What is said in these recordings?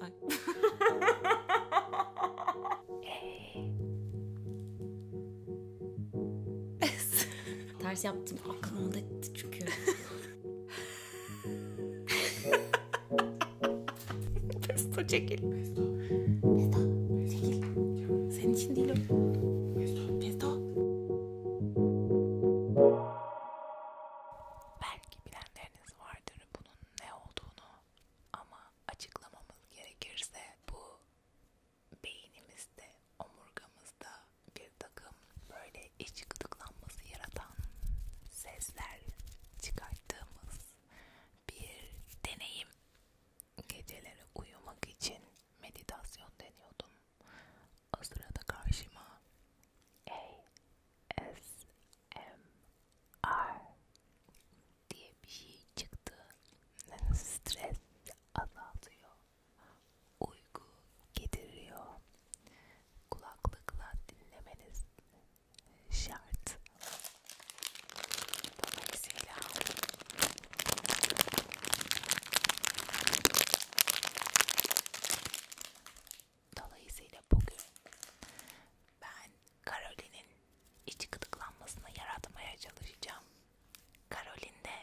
Ay. Ters yaptım aklımda çünkü. Pesto çekil. Pesto. Pesto. Çekil. Senin için değil o. Pesto. Pesto. Belki biraz bilenleriniz vardır bunun ne olduğunu ama açıklamamız gerekirse bu beynimizde, omurgamızda bir takım böyle iç gıdıklanması yaratan sesler çıkarttığımız bir deneyim. Geceleri uyumak için meditasyon deniyordum. O sırada karşıma ASMR diye bir şey çıktı. Stres azaltıyor, uyku getiriyor. Kulaklıkla dinlemeniz şart. Dolayısıyla Dolayısıyla bugün ben Karolin'in iç gıdıklanmasını yaratmaya çalışacağım. Karolin de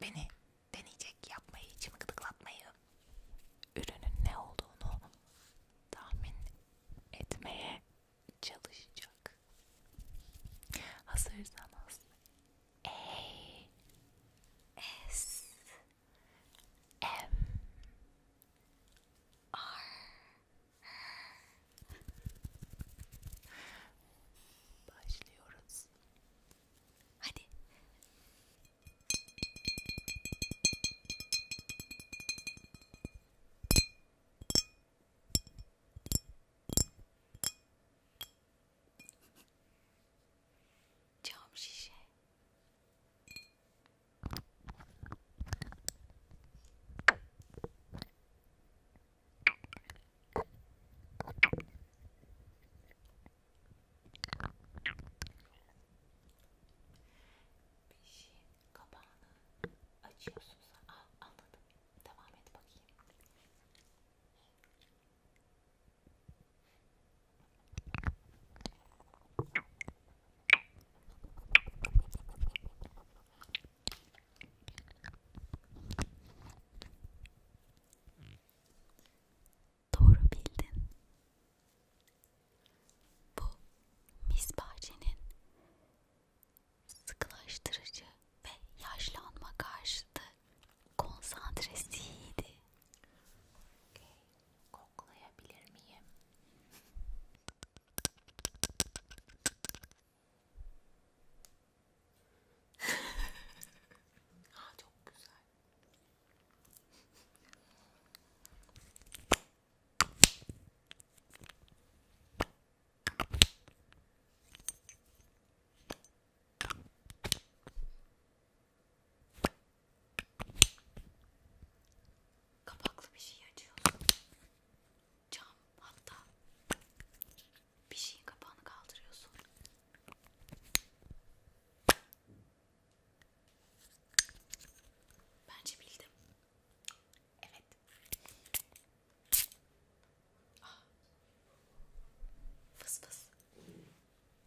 beni deneyecek yapmayı, içimi gıdıklatmayı, ürünün ne olduğunu tahmin etmeye çalışacak. Hazırsanız E S M R başlıyoruz. Hadi cam şişe. Bir şey kapağını açıyorsunuz. Aa, anladım. Devam et bakayım. Doğru bildin. Bu misbahçenin sıkılaştırıcı ve yaşlanma karşıtı Konsantresi iyiydi. Okay. Koklayabilir miyim? Aa, çok güzel. Kapaklı bir şey açıyorsun. Cam hatta bir şeyin kapağını kaldırıyorsun. Bence bildim. Evet. Ah. Fıs fıs.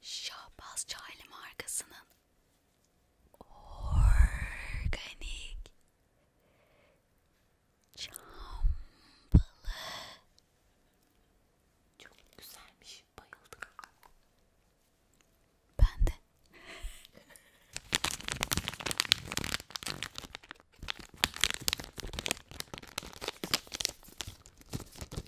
Şahbaz Çaylı markasının organik çam balı. Çok güzelmiş. Bayıldım. Ben de.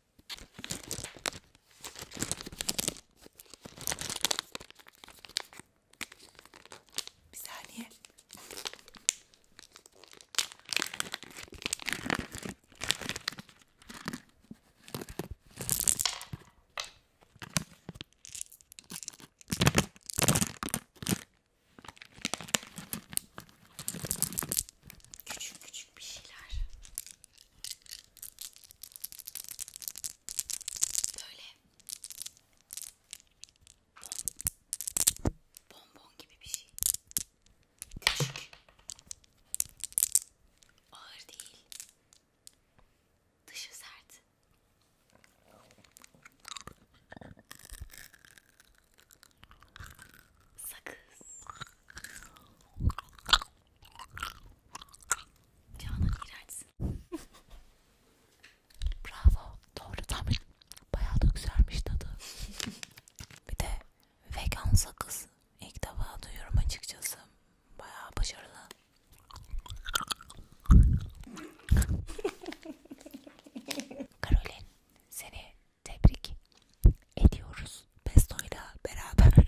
Bir saniye. Küçük küçük bir şeyler. Böyle bon, bonbon gibi bir şey. Küçük. Ağır değil. Dışı sert. Sakız. Canan iğrençsin. Bravo. Doğru tahmin. Bayağı da güzelmiş tadı. Bir de vegan sakız. İlk defa duyuyorum açıkçası. Bayağı başarılı. Karolin seni tebrik ediyoruz Pesto'yla beraber.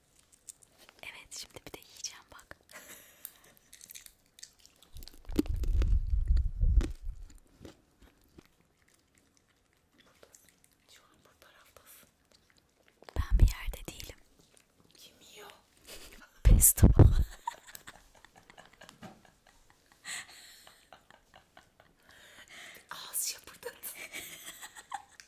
Evet şimdi bir de yiyeceğim bak. Şu an bu taraftasın. Ben bir yerde değilim. Kim yiyor? Pesto. Ağız şapırdadı.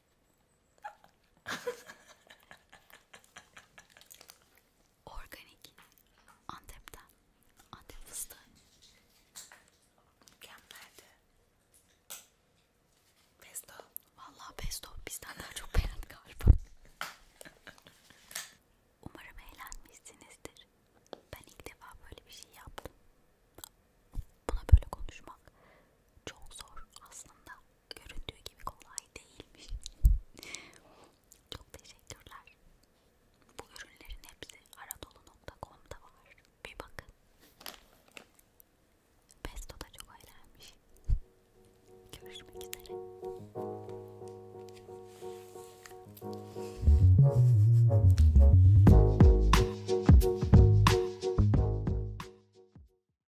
Organik. Antep'ten. Antep fıstığı. Mükemmeldi. Pesto. Vallahi pesto bizden daha çok beğendi galiba. Umarım eğlenmişsinizdir. Ben ilk defa böyle bir şey yaptım. Buna böyle konuşmak çok zor aslında göründüğü gibi kolay değilmiş. Çok teşekkürler. Bu ürünlerin hepsi aradolu.com'da var. Bir bakın. Pesto da çok eğlenmiş. Görüşmek üzere.